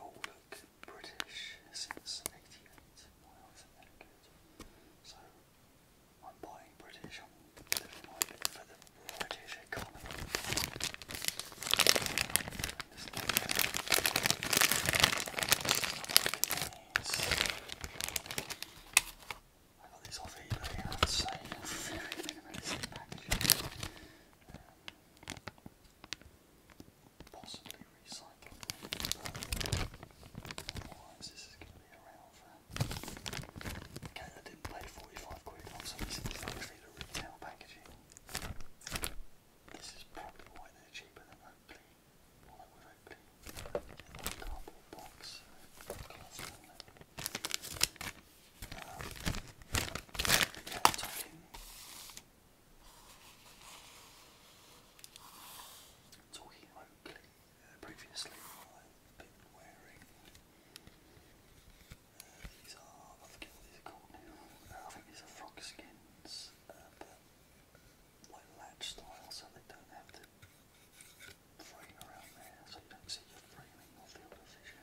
Oh look, British since '88. So i buying British. I'm living for the British economy. these off eBay. very minimalistic packaging. Um, possibly recyclable, but otherwise this is going to be around for... Okay, I didn't pay 45 quid on, so this actually the retail packaging. This is probably why they're cheaper than Oakley, or well, with Oakley, cardboard box, Talking openly uh, previously, I've been wearing. Uh, these are, I forget what these are called uh, I think these are frog skins, but like latch style, so they don't have to frame around there, so you don't see your framing or field of vision.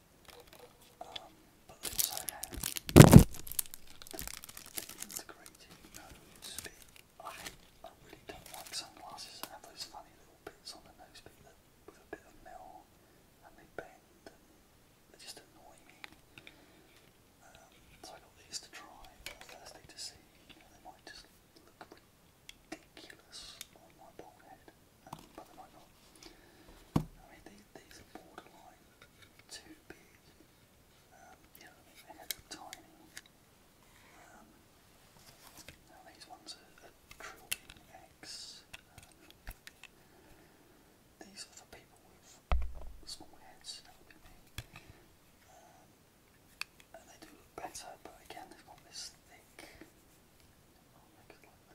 but also have the, integrated nose I, really don't like sunglasses that have those funny little bits on the nose bit that, with a bit of metal and they bend and they just annoy me. so I got these to try on Thursday to see. they might just look ridiculous on my bald um, but they might not. I mean, these, these are borderline too big. Um, you they are tiny. Um, these ones are, are Trillion X. these are for people with small heads, um, and they do look better, but again, they've got this thick. Oh,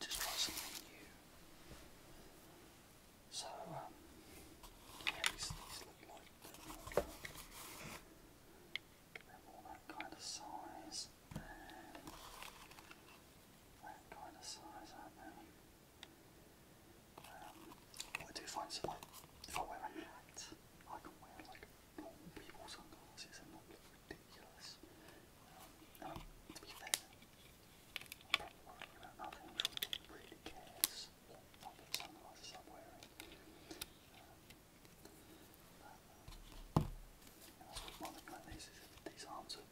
just try something new. So, um, yeah, these, look like they're, they that kind of size that kind of size, um, I do find like, if I wear a hat, I can wear like normal people sunglasses and not look ridiculous to be fair, I'm probably worrying about nothing which really cares what public sunglasses I'm wearing. Um, thing like this is these arms are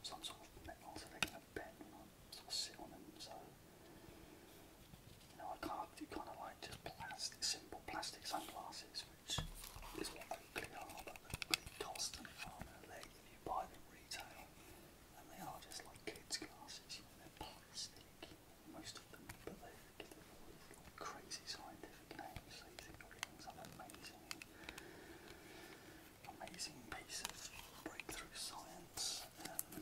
some sort of metal, so they're going to bend when I sort of sit on them, so... You know, I can't do kind of like just plastic, simple plastic sunglasses, which is what Oakley are, but they cost an arm and a if you buy them retail. And they are just like kids' glasses, they're plastic, most of them, but they give all these crazy scientific names, so oh, things like amazing, amazing piece breakthrough science. Um,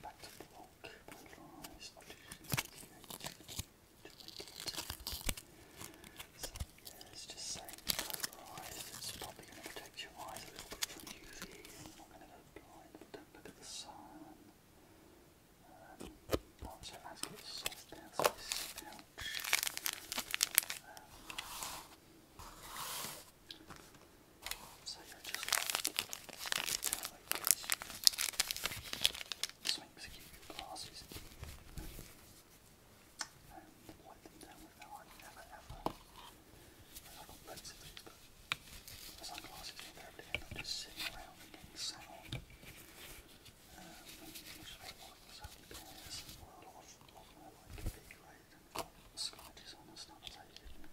back to the block, so yeah, it's just saying polarized. It's probably going to protect your eyes a little bit from UV. You're not going to go blind, don't look at the sun. so you're just like, this links give you and wipe them down never ever, I've of these, but the just sitting around and getting sound, um, which is what I like, so who cares? Well, a big, right, scratches on and stuff, I take it and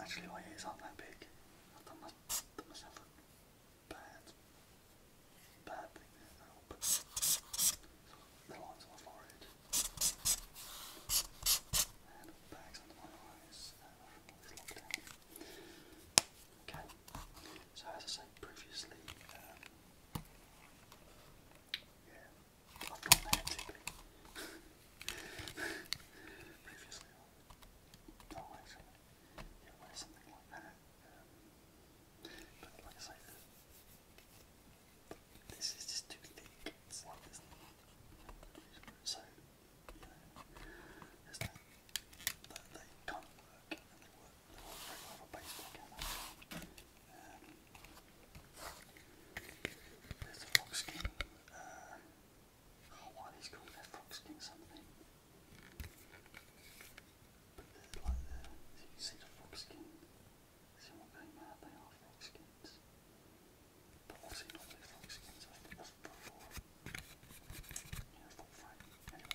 Actually, my ears aren't that big. I've done, my, done a bad, bad thing there. The lines on my forehead. And bags under my eyes. Uh, from this lockdown. Okay. So as I said previously, um, yeah, I've drawn that previously, I oh, actually, something like that. Um, but like I this is just too thick. It's like this. So, you know, there's no, they, they can't work little there's a fox skin. Uh, called? they fox skin something. But like the, you see the fox skin. See what game are? They are fox skins. But obviously not the fox skins. I think that's before. Yeah, full frame.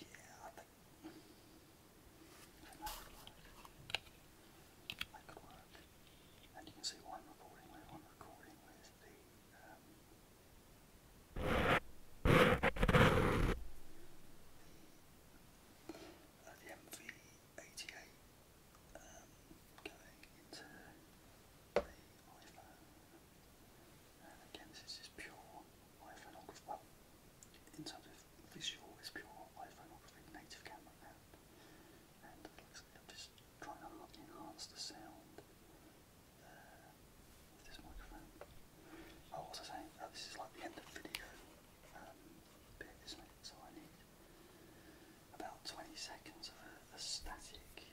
Yeah, I think that could work. And you can see what recording with. recording with the the, MV88 going into the iPhone again, this is pure iPhoneography. Well, in terms of visual, it's pure iPhoneography native camera app. And like I'm just trying to enhance the sound uh, this microphone. Oh, what was I saying? Oh, this is like the end of the video um, So I need about 20 seconds of a static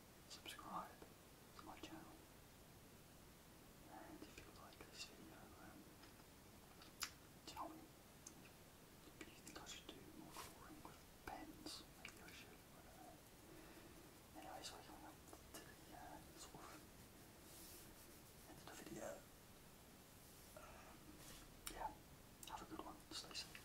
subscribe to my channel. And if you like this video, um, tell me if you think I should do more drawing with pens. anyway, so coming up to the uh, the video. Um, yeah, have a good one. Stay safe.